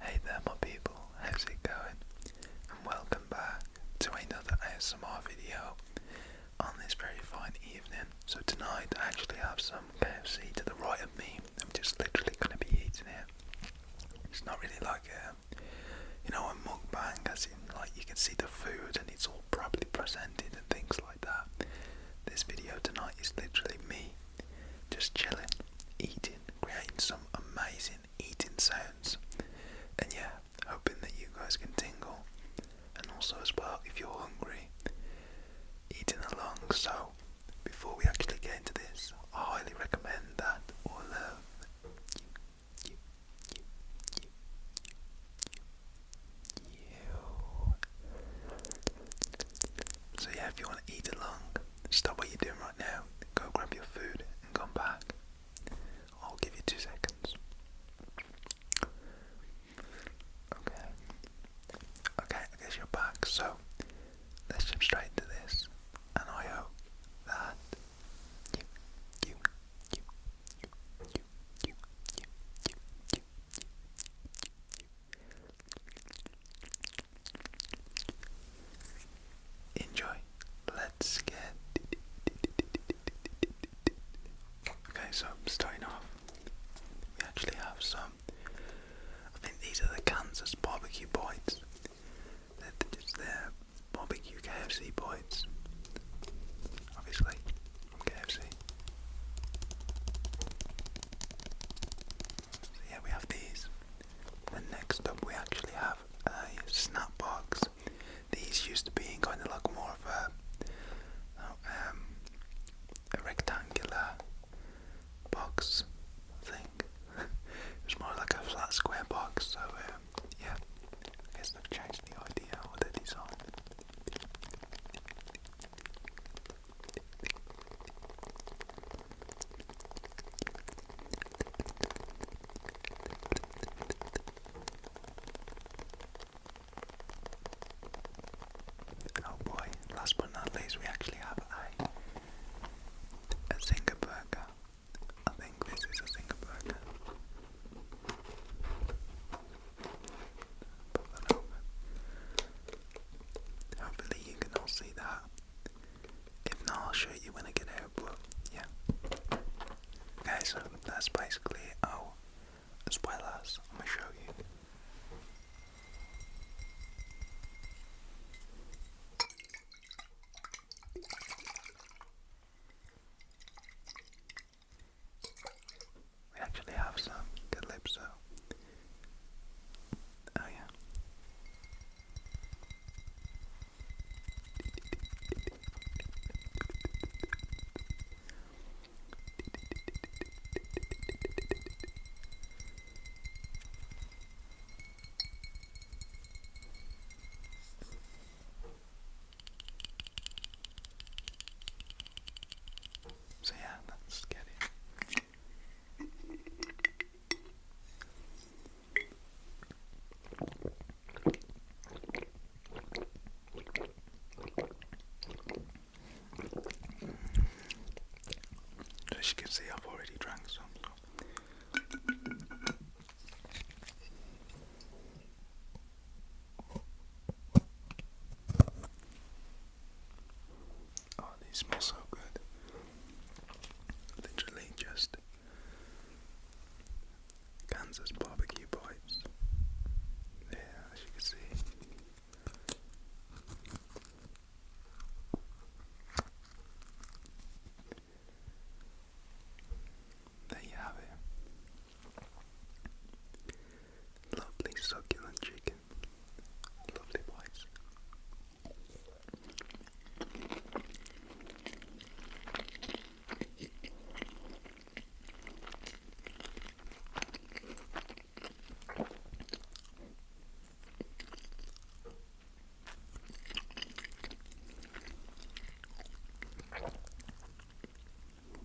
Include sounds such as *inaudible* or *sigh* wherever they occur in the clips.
Hey there my people, how's it going? And welcome back to another ASMR video on this very fine evening. So tonight I actually have some KFC to the right of me. I'm just literally going to be eating it. It's not really like a, you know, a mukbang as in like you can see the food and it's all properly presented and things like that. This video tonight is literally me just chilling, eating, creating some amazing eating sounds. And yeah, hoping that you guys can tingle. And also, as well, if you're hungry, eating along. So, before we actually get into this, I highly recommend that all of you, you, you, you, you, you, you. So, yeah, if you want to eat along, stop what you're doing right now, go grab your food and come back. I'll give you two seconds. Okay. Okay, I guess you're back. So let's jump straight into this. And I hope that you, you, you, you, you, you, you, you, you, you, you, Enjoy. Let's get. Okay, so starting off, we actually have some. I think these are the Kansas barbecue bites. They're just their barbecue KFC bites. Obviously, from KFC. So yeah, we have these. And next up, we actually have a snap box. These used to be kind of like more of a, um, a rectangular box thing. *laughs* it was more like a flat square box. So um, yeah, I guess they've changed the idea or the design. Oh boy, last but not least we actually have a a Zinger burger. I think this is a Zinger burger. Put that over. Hopefully you can all see that. If not, I'll show you when I get out, but yeah. Okay, so that's basically it. Oh, I'm gonna show you. We actually have some calypso. Oh yeah. So yeah, that's Getty. So as you can see, I've already drank some. Oh, these smell so good. Literally just Kansas barbecue pipes. Yeah, as you can see. There you have it. Lovely succulent chicken. Lovely voice. Oh well.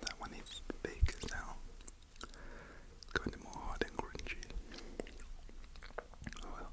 That one is to bake now. It's going more hard and crunchy. Oh well.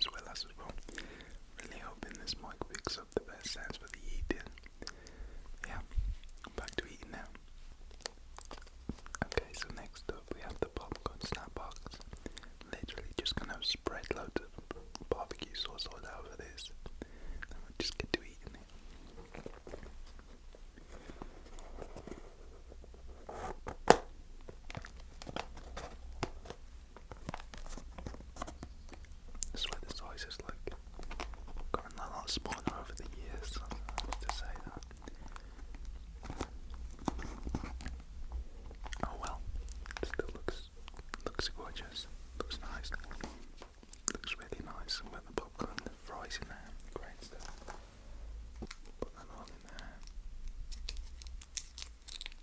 as well as well. Really hoping this mic picks up the best sounds for the eating. Yeah, back to eating now. Okay, so next up we have the popcorn snack box. Literally just gonna spread loads of barbecue sauce all over this. just get to eating this is why the size has like gotten a lot smaller over the years, to say that. Oh well, still looks looks gorgeous, looks nice, looks really nice. And with the popcorn the fries in there, great stuff. Put that all in there.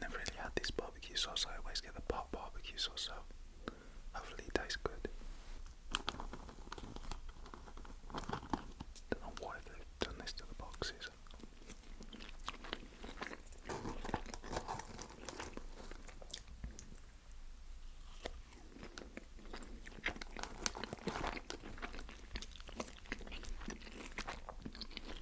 Never really had this barbecue sauce. I always get the pot barbecue sauce, hopefully it tastes good. Don't know why they've done this to the boxes.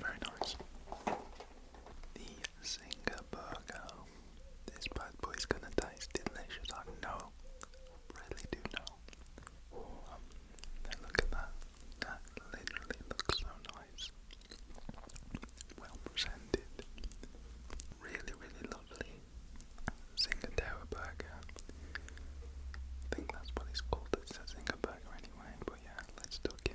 Very nice. The Zinger Burger. This bad boy is gonna taste delicious. I know. I really do know warm. Um, now look at that. That literally looks so nice. Well presented. Really, really lovely. Zingadera burger. I think that's what it's called. It's a Zinger burger anyway, but yeah, let's duck in.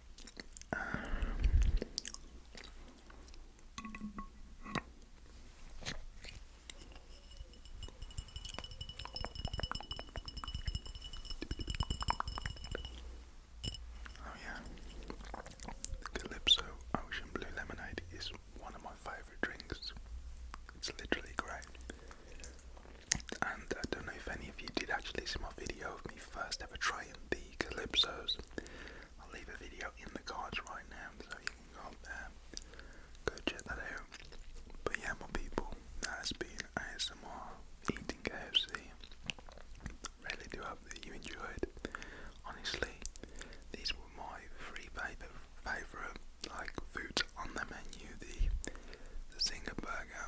Oh yeah, Calypso Ocean Blue Lemonade is one of my favourite drinks. It's literally great. And I don't know if any of you did actually see my video of me first ever trying the Calypsos. I'll leave a video in the cards right now so you can go there, go check that out. But yeah, my people, that has been ASMR Eating KFC. Really do hope that you enjoyed. Honestly, these were my three favorite, favorite like foods on the menu: the the Zinger burger,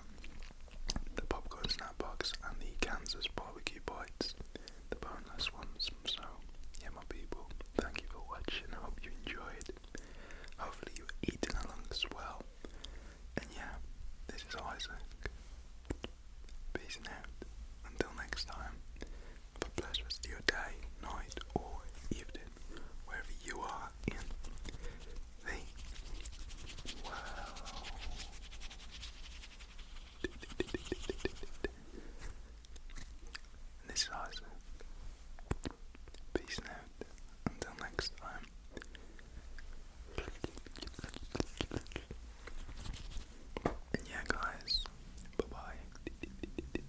the popcorn snack box and the Kansas barbecue bites, the boneless ones. So, yeah, my people, thank you for watching. I hope you enjoyed. Hopefully, you were eating along as well. And yeah, this is Isaac. Peace out. Until next time, have a blessed rest of your day, night, or evening, wherever you are in. Wow. This is awesome. Peace out. Until next time. And yeah, guys. Bye bye.